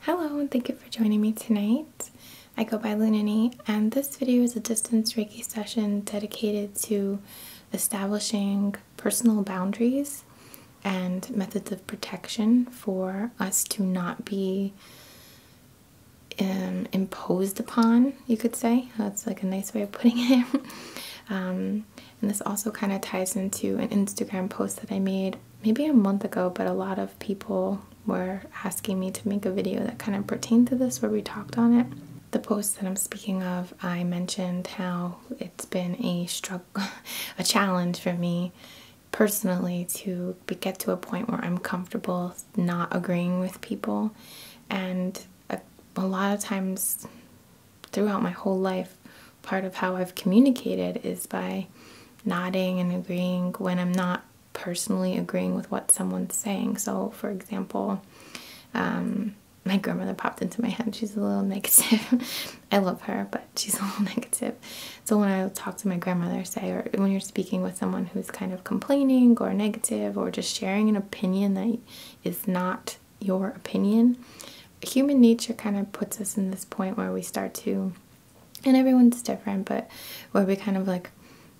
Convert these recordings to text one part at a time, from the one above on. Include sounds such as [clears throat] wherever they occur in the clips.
Hello and thank you for joining me tonight. I go by Lunani, and this video is a distance Reiki session dedicated to establishing personal boundaries and methods of protection for us to not be um, imposed upon, you could say. That's like a nice way of putting it. [laughs] Um, and this also kind of ties into an Instagram post that I made maybe a month ago, but a lot of people were asking me to make a video that kind of pertained to this where we talked on it. The post that I'm speaking of, I mentioned how it's been a struggle, [laughs] a challenge for me personally to get to a point where I'm comfortable not agreeing with people. And a, lot of times throughout my whole life, part of how I've communicated is by nodding and agreeing when I'm not personally agreeing with what someone's saying. So, for example, um, my grandmother popped into my head. She's a little [laughs] negative. I love her, but she's [laughs] a little negative. So when I talk to my grandmother, say, or when you're speaking with someone who's kind of complaining or negative or just sharing an opinion that is not your opinion, human nature kind of puts us in this point where we start to and everyone's different but where we kind of like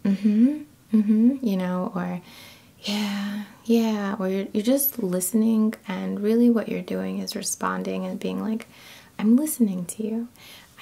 mm-hmm mm-hmm you know or yeah yeah or you're, you're just listening and really what you're doing is responding and being like i'm listening to you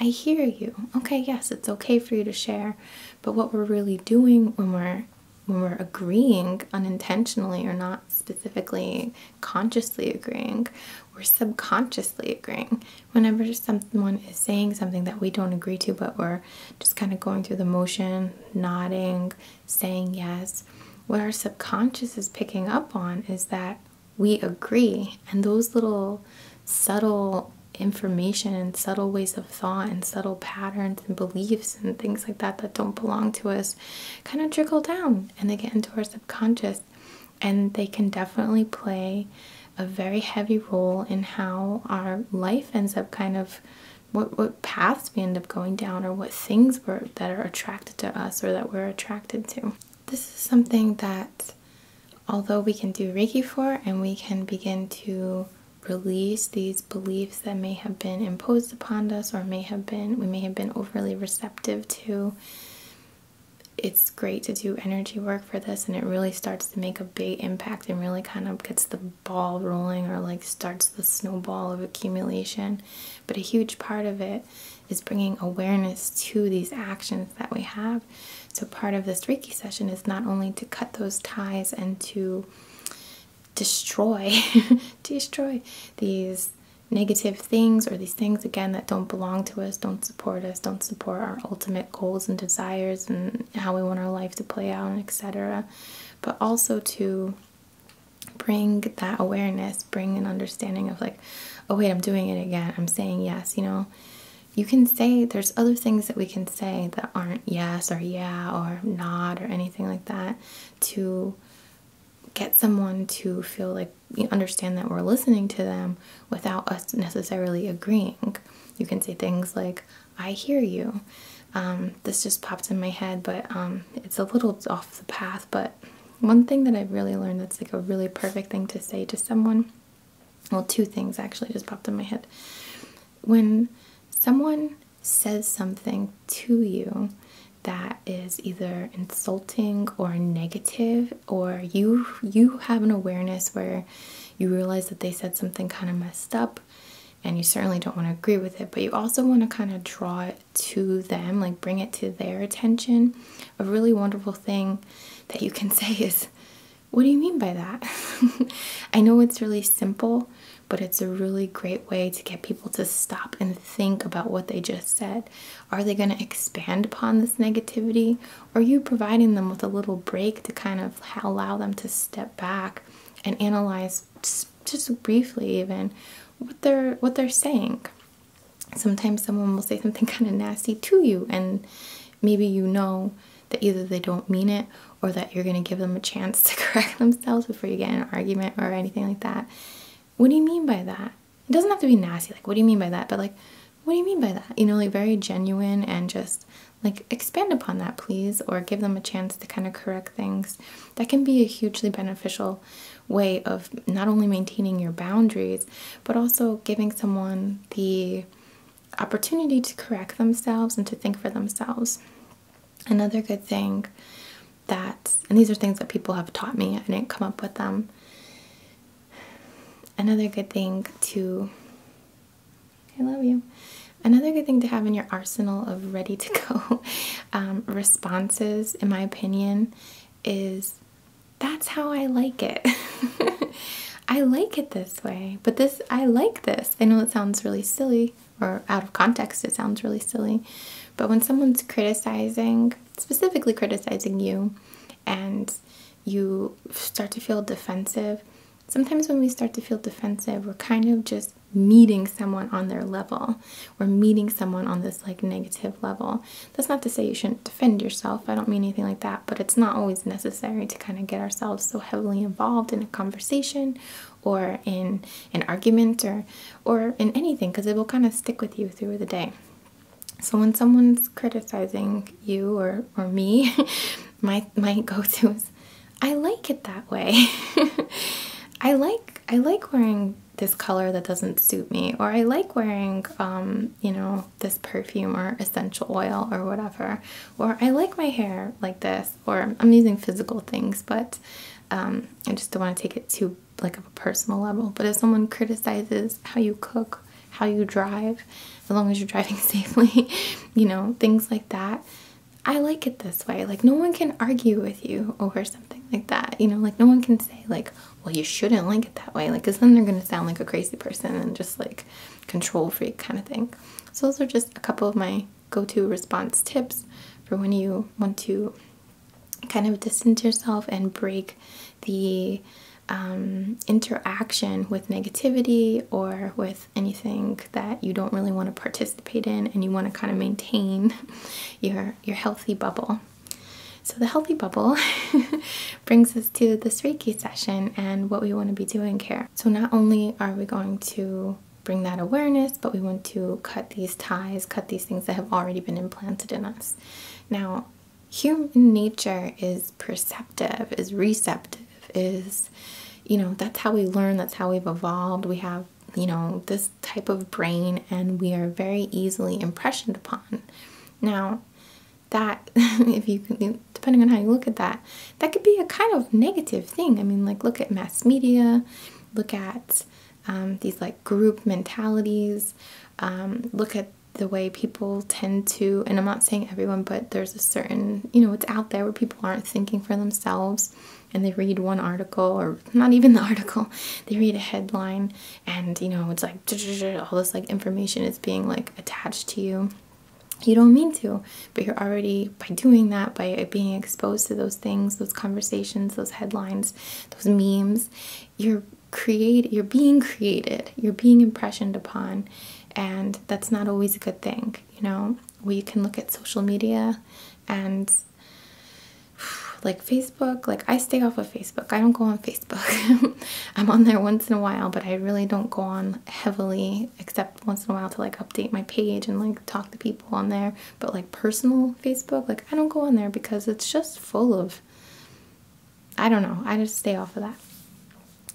i hear you okay yes it's okay for you to share but what we're really doing when we're when we're agreeing unintentionally or not specifically consciously agreeing, we're subconsciously agreeing. Whenever someone is saying something that we don't agree to, but we're just kind of going through the motion, nodding, saying yes, what our subconscious is picking up on is that we agree. And those little subtle information and subtle ways of thought and subtle patterns and beliefs and things like that that don't belong to us kind of trickle down and they get into our subconscious and they can definitely play a very heavy role in how our life ends up kind of what what paths we end up going down or what things were that are attracted to us or that we're attracted to. This is something that although we can do Reiki for and we can begin to release these beliefs that may have been imposed upon us or may have been we may have been overly receptive to it's great to do energy work for this and it really starts to make a big impact and really kind of gets the ball rolling or like starts the snowball of accumulation but a huge part of it is bringing awareness to these actions that we have so part of this reiki session is not only to cut those ties and to destroy [laughs] destroy these negative things or these things again that don't belong to us, don't support us, don't support our ultimate goals and desires and how we want our life to play out, etc. But also to bring that awareness, bring an understanding of like, oh wait, I'm doing it again. I'm saying yes, you know. You can say there's other things that we can say that aren't yes or yeah or not or anything like that to get someone to feel like you understand that we're listening to them without us necessarily agreeing. You can say things like, I hear you. Um, this just popped in my head, but um, it's a little off the path. But one thing that I've really learned that's like a really perfect thing to say to someone well, two things actually just popped in my head. When someone says something to you, that is either insulting or negative or you you have an awareness where you realize that they said something kind of messed up and you certainly don't want to agree with it but you also want to kind of draw it to them like bring it to their attention a really wonderful thing that you can [laughs] say is what do you mean by that [laughs] i know it's really simple but it's a really great way to get people to stop and think about what they just said are they going to expand upon this negativity? are you providing them with a little break to kind of allow them to step back and analyze just, briefly even what they're what they're saying? Sometimes someone will say something [laughs] kind of nasty to you and maybe you know that either they don't mean it or that you're going to give them a chance [laughs] to correct themselves before you get an argument or anything like that what do you mean by that? It doesn't have to be nasty, like, what do you mean by that? But, like, what do you mean by that? You know, like, very genuine and just like expand upon that, please, or give them a chance to kind of correct things. That can be a hugely beneficial way of not only maintaining your boundaries, but also giving someone the opportunity to correct themselves and to think for themselves. Another good thing that, and these are things that people have taught me, I didn't come up with them. Another good thing to, I love you. Another good thing to have in your arsenal of ready to go [laughs] um, responses, in my opinion, is that's how I like it. [laughs] I like it this way, but this, I like this. I know it sounds really silly, or out of context, it sounds really silly. But when someone's criticizing, specifically criticizing you, and you start to feel defensive, sometimes when we start to feel defensive, we're kind of just meeting someone on their level. We're meeting someone on this like negative level. That's not to say you shouldn't defend yourself. I don't mean anything like that, but it's not always necessary to kind of get ourselves so heavily involved in a conversation or in an argument or or in anything because it will kind of stick with you through the day. So when someone's criticizing you or or me, [laughs] my my go-to is I like it that way. [laughs] I like I like wearing this color that doesn't suit me or I like wearing um, you know, this perfume or essential oil or whatever. Or I like my hair like this or I'm using physical things, but um, I just don't want to take it too to like a personal level, but if someone criticizes how you cook, how you drive, as long as you're driving [laughs] safely, you know, things like that, I like it this way. Like no one can argue with you over something like that. You know, like no one can say like, well, you shouldn't like it that way. Like, cause then they're going to sound like a crazy person and just like control freak kind of thing. So those are just a couple of my go-to response tips for when you want to kind of distance yourself and break the um, interaction with negativity or with anything that you don't really want to participate in and you want to kind of maintain [laughs] your your healthy bubble so the healthy bubble [laughs] brings us to this reiki session and what we want to be doing here so not only are we going to bring that awareness but we want to cut these ties cut these things that have already been implanted in us. Now, human nature is perceptive, is receptive, is, you know, that's how we learn, that's how we've evolved. We have, you know, this type of brain and we are very easily impressioned upon. Now, that, [laughs] if you, depending on how you look at that, that could be a kind of negative thing. I mean, like, look at mass media, look at um, these like group mentalities. Um, look at the way people tend to, and I'm not saying everyone, but there's a certain, you know, it's out there where people aren't thinking for themselves and they read one article or not even [laughs] the article, they read a headline and, you know, it's like [laughs] all this like information is being like attached to you. You don't mean to, but you're already, by doing that, by being exposed to those things, those conversations, those headlines, those memes you're create you're being created you're being impressioned upon and that's not always a good thing you know we can look at social media and [sighs] like facebook like i stay off of facebook i don't go on facebook [laughs] i'm on there once in a while but i really don't go on heavily except once in a while to like update my page and like talk to people on there, but like personal Facebook, like I don't go on there because it's just full of I don't know. I just stay off of that.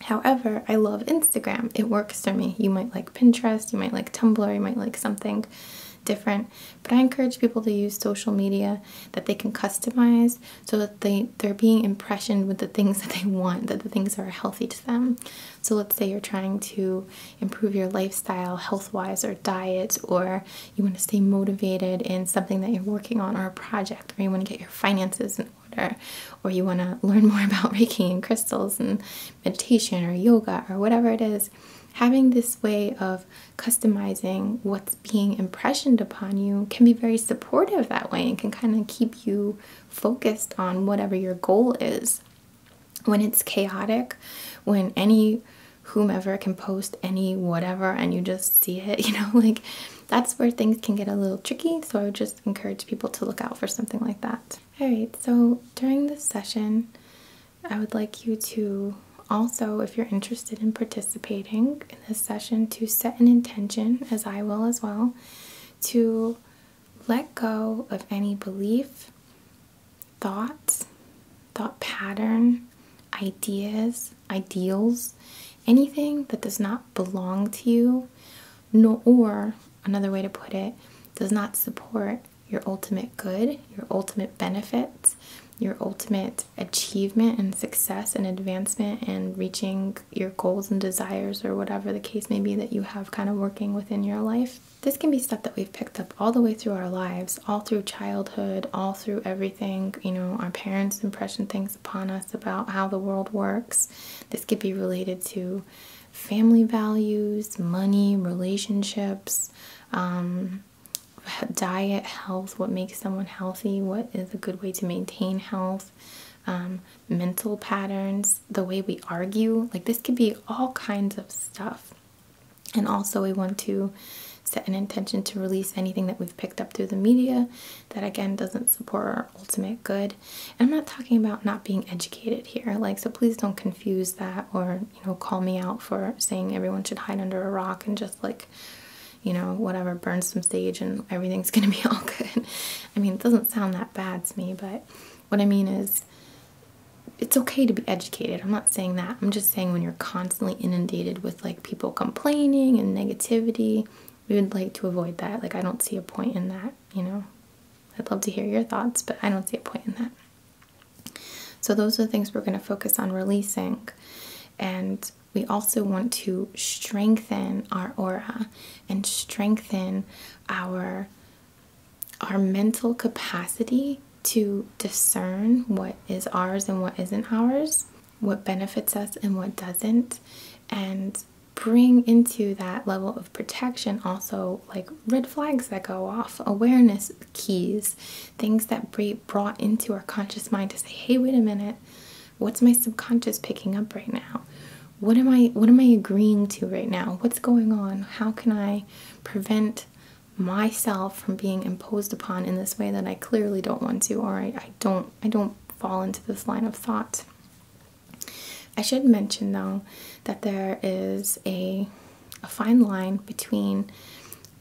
However, I love Instagram. It works for me. You might like Pinterest, you might like Tumblr, you might like something different. But I encourage people to use social media that they can customize so that they, they're being impressioned with the things [laughs] that they want, that the things are healthy to them. So let's say you're trying to improve your lifestyle health wise or diet, or you want to stay motivated in something that you're working on or a project, or you want to get your finances in order, or you want to learn more [laughs] about Reiki and crystals and meditation or yoga or whatever it is, having this way of customizing what's being impressioned upon you can be very supportive that way and can kind of keep you focused on whatever your goal is when it's chaotic, when any whomever can post any whatever and you just see it, [laughs] you know, like that's where things can get a little tricky. So I would just encourage people to look out for something like that. All right, so during this session, I would like you to also, if you're interested in participating in this session, to set an intention, as I will as well, to let go of any belief, thoughts, thought pattern, ideas, ideals, anything that does not belong to you, nor, or another way to put it, does not support your ultimate good, your ultimate benefits, your ultimate achievement and success and advancement and reaching your goals and desires or whatever the case may be that you have kind of working within your life. This can be stuff that we've picked up all the way through our lives, all through childhood, all through everything, you know, our parents' impression things upon us about how the world works. This could be related to family values, money, relationships, um, diet, health, what makes someone healthy, what is a good way to maintain health, um, mental patterns, the way we argue. Like, this could be all kinds of stuff. And also, we want to set an intention to release anything that we've picked up through the media that again doesn't support our ultimate good. And I'm not talking about not being educated here, like, so please don't confuse that or you know, call me out for saying everyone should hide under a rock and just like you know, whatever, burn some sage and everything's [laughs] gonna be all good. I mean, it doesn't sound that bad to me, but what I mean is it's okay to be educated. I'm not saying that. I'm just saying when you're constantly inundated with like people complaining and negativity, we would like to avoid that. Like I don't see a point in that, you know. I'd love to hear your thoughts, but I don't see a point in that. So those are the things we're going to focus on releasing. And we also want to strengthen our aura and strengthen our our mental capacity to discern what is ours and what isn't ours, what benefits us and what doesn't, and bring into that level of protection also like red flags that go off, awareness keys, things that be brought into our conscious mind to say, "Hey, wait a minute. What's my subconscious picking up right now? What am I what am I agreeing to right now? What's going on? How can I prevent myself from being imposed upon in this way that I clearly don't want to or I, don't I don't fall into this line of thought. I should mention though that there is a fine line between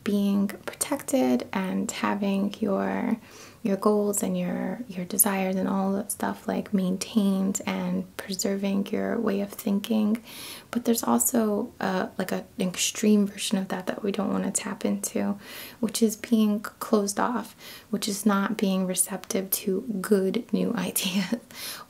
being protected and having your your goals and your your desires and all that stuff like maintained and preserving your way of thinking but there's also uh, like an extreme version of that that we don't want to tap into which is being closed off which is not being receptive to good new [laughs] ideas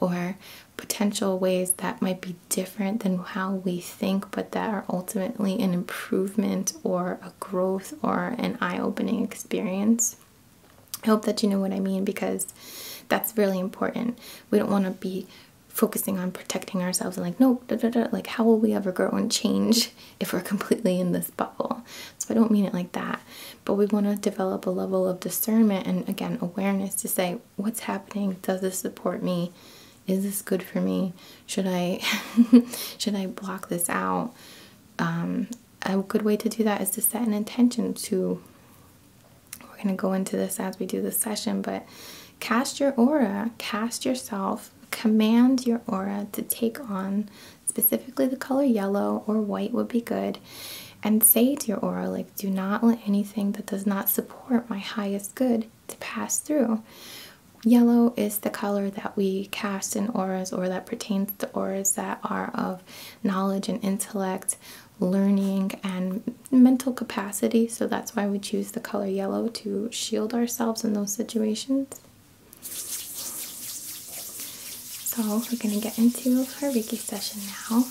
or potential ways that might be different than how we think but that are ultimately an improvement or a growth or an eye-opening experience I hope that you know what I mean because that's really important. We don't want to be focusing on protecting ourselves and like, no, like how will we ever grow and change [laughs] if we're completely in this bubble? So I don't mean it like that. But we want to develop a level of discernment and again, awareness to say, what's happening? Does this support me? Is this good for me? Should I, [laughs] should I block this out? Um, a good way to do that is to set an intention to we're going to go into this as we do the session, but cast your aura, cast yourself, command your aura to take on specifically the color yellow or white would be good. And say to your aura, like, do not let anything that does not support my highest good to pass through. Yellow is the color that we cast in auras or that pertains to auras that are of knowledge and intellect, learning and mental capacity. So that's why we choose the color yellow to shield ourselves in those situations. So we're going to get into our Reiki session now.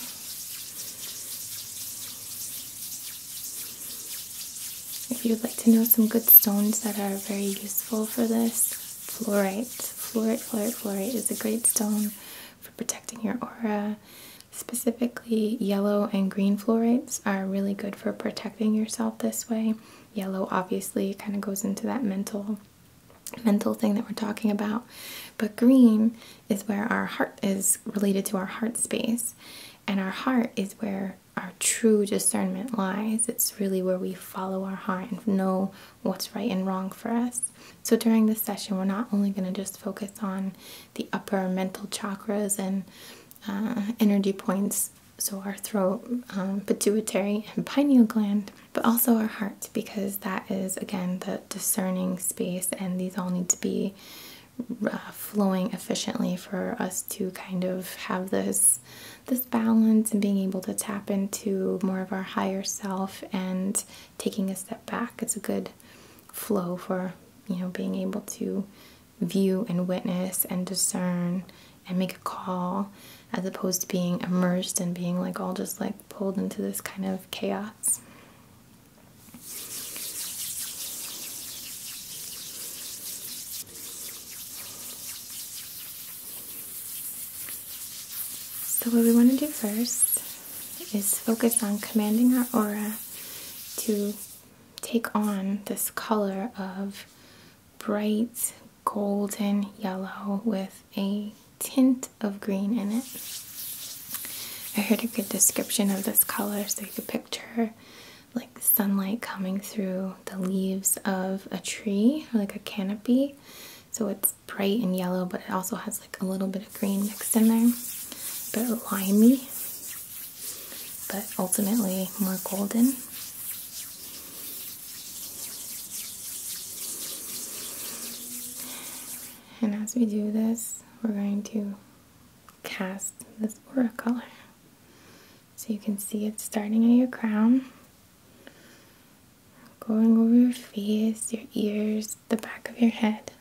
If you'd like to know some good stones that are very useful for this, fluorite. Fluorite, fluorite, fluorite is a great stone protecting your aura. Specifically, yellow and green fluorites are really good for protecting yourself this way. Yellow obviously kind of goes into that mental mental thing that we're talking about. But green is where our heart is related to our heart space. And our heart is where our true discernment lies. It's really where we follow our heart and know what's right and wrong for us. So during this session, we're not only going to just focus on the upper mental chakras and uh, energy points, so our throat, um, pituitary, and pineal gland, but also our heart, because that is again the discerning space, and these all need to be uh, flowing efficiently for us to kind of have this this balance and being able to tap into more of our higher self and taking a step back. It's a good flow for you know being able to view and witness and discern and make a call as opposed to being immersed and being like all just like pulled into this kind of chaos. So, what we want to do first is focus on commanding our aura to take on this color of bright golden yellow with a tint of green in it. I heard a good description of this color, so you could picture like sunlight coming through the leaves of a tree or like a canopy. So it's bright and yellow, but it also has like a little bit of green mixed in there, but limey, but ultimately more golden. And as we do this, we're going to cast this aura color. So you can see it's starting at your crown going over your face, your ears, the back of your head,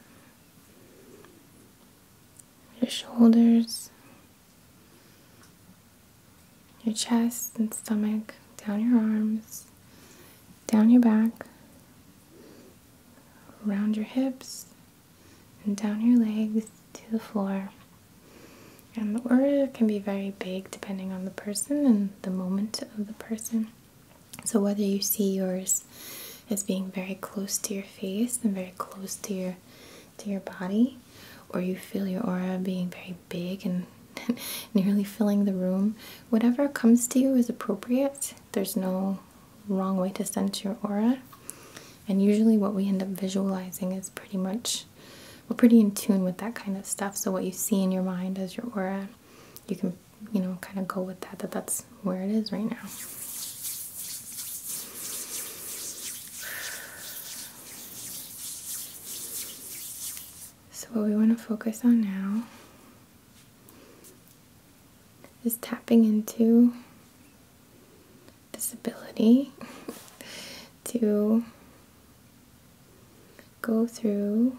your shoulders, your chest and stomach, down your arms, down your back, around your hips, and down your legs to the floor. And the aura can be very big depending on the person and the moment of the person. So, whether you see yours as being very close to your face and very close to your to your body, or you feel your aura being very big and [laughs] nearly filling the room, whatever comes to you is appropriate. There's no wrong way to sense your aura. And usually, what we end up visualizing is pretty much we're pretty in tune with that kind of stuff. So, what you see in your mind as your aura you can, you know, kind of go with that, that that's where it is right now. So, what we want to focus on now is tapping into this ability [laughs] to go through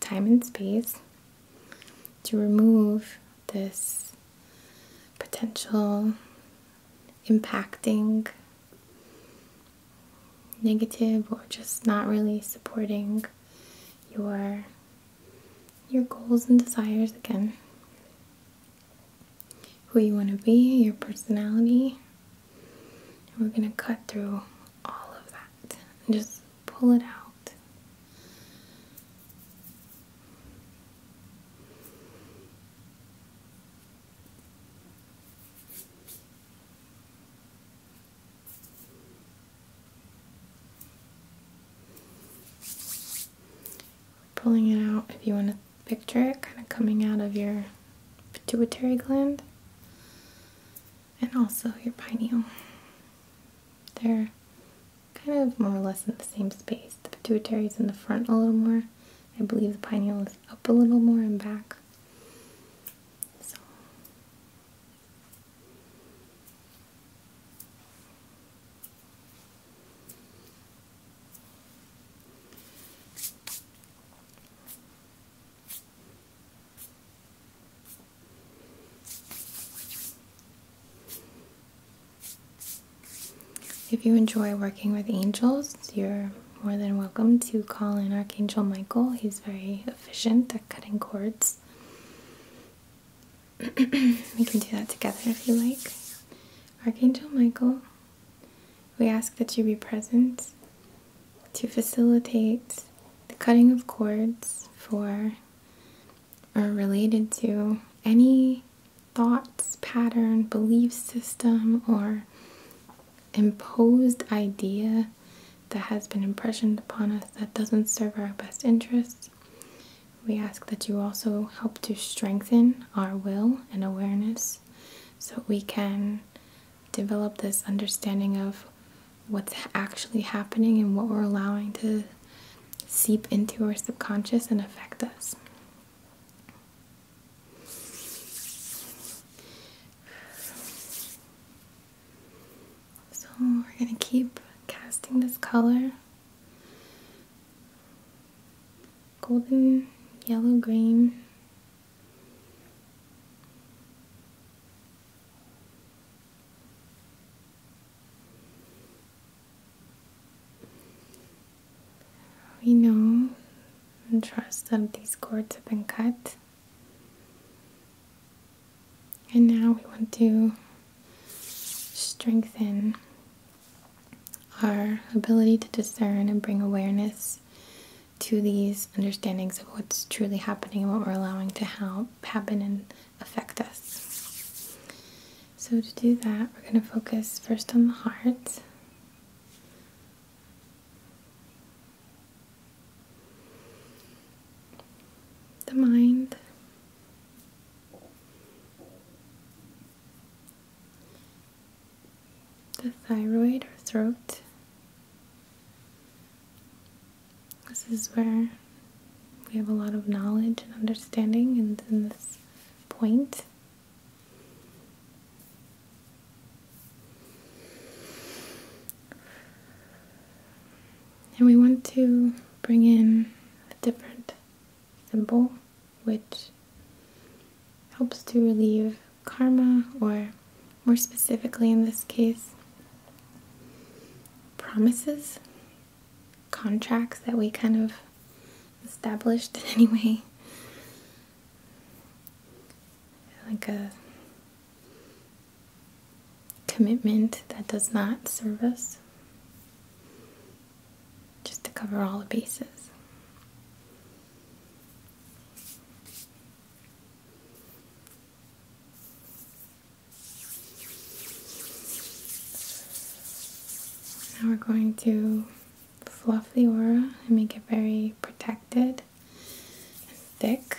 time and space to remove this potential impacting negative or just not really supporting your your goals and desires again who you want to be, your personality. we're going to cut through all of that and just pull it out. Pulling it out if you want to picture it kind of coming out of your pituitary gland and also your pineal. They're kind of more or less in the same space. The pituitary is in the front a little more. I believe the pineal is up a little more and back. If you enjoy working with angels, you're more than welcome to call in Archangel Michael. He's very efficient at cutting cords. [clears throat] we can do that together if you like. Archangel Michael we ask that you be present to facilitate the cutting of cords for or related to any thoughts, pattern, belief system, or imposed idea that has been impressioned upon us that doesn't serve our best interests. We ask that you also help to strengthen our will and awareness so we can develop this understanding of what's actually happening and what we're allowing to seep into our subconscious and affect us. So we're going to keep casting this color golden, yellow, green we know and trust that these cords have been cut. And now we want to strengthen our ability to discern and bring awareness to these understandings of what's truly happening and what we're allowing to happen and affect us. So, to do that, we're going to focus first on the heart. The mind, the thyroid or throat. This is where we have a lot of knowledge and understanding and in this And we want to bring in a different symbol which helps to relieve karma, or more specifically in this case, promises, contracts that we kind of established [laughs] anyway. Like a commitment that does not serve us, just to cover all the bases. Now we're going to fluff the aura and make it very protected and thick.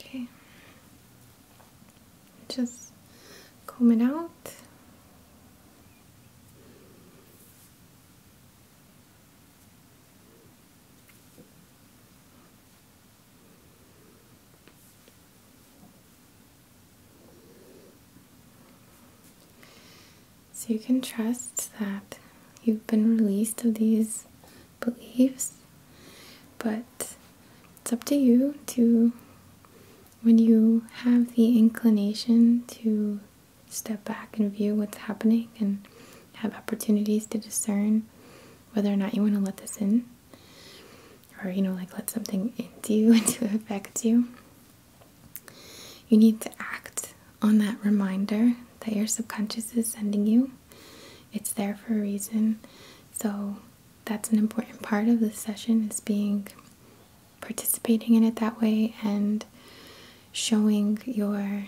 Okay, just comb it out. So you can trust that you've been released of these beliefs, but it's up to you to, when you have the inclination to step back and view what's happening and have opportunities to discern whether or not you want to let this in or you know like let something into you and [laughs] to affect you you need to act on that reminder that your subconscious is sending you. It's there for a reason. So that's an important part of this session is being participating in it that way and showing your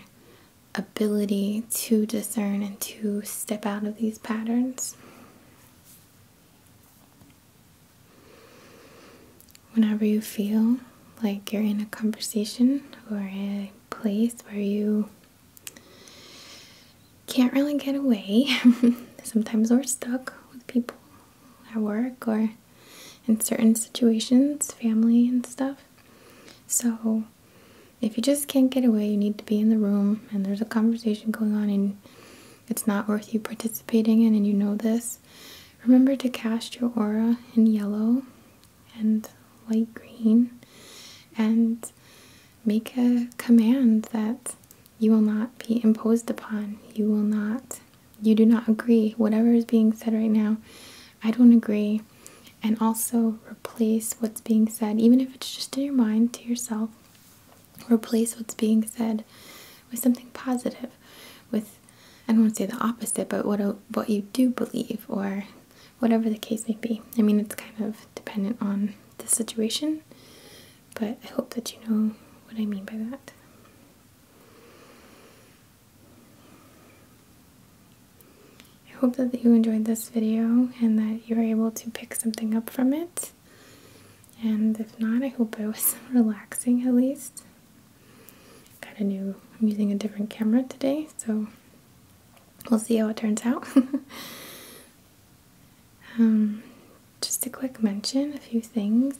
ability to discern and to step out of these patterns. Whenever you feel like you're in a conversation or a place where you can't really get away, [laughs] sometimes we're stuck with people at work or in certain situations, family and stuff. So, if you just can't get away, you need to be in the room and there's a conversation going on, and it's not worth you participating in, and you know this, remember to cast your aura in yellow and light green and make a command that you will not be imposed upon. You will not, you do not agree. Whatever is being said right now, I don't agree. And also replace what's being said, even if it's just in your mind to yourself. Replace what's being said with something positive, with I don't want to say the opposite, but what what you do believe or whatever the case may be. I mean, it's kind of dependent on the situation, but I hope that you know what I mean by that. I hope that you enjoyed this video and that you were able to pick something up from it. And if not, I hope it was [laughs] relaxing at least. Got a new, I'm using a different camera today, so we'll see how it turns out. [laughs] Um, just a quick mention, a few things.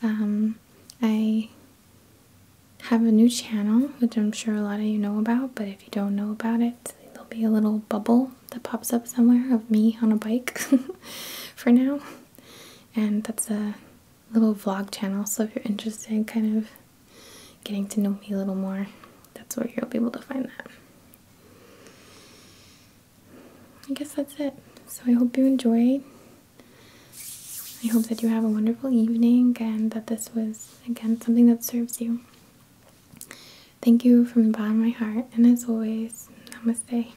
Um, I have a new channel, which I'm sure a lot of you know about, but if you don't know about it, there'll be a little bubble that pops up somewhere of me on a bike [laughs] for now and that's a little vlog channel. So if you're interested kind of getting to know me a little more, that's where you'll be able to find that. I guess that's it. So I hope you enjoyed. I hope that you have a wonderful evening and that this was, again, something that serves you. Thank you from the bottom of my heart, and as always, namaste.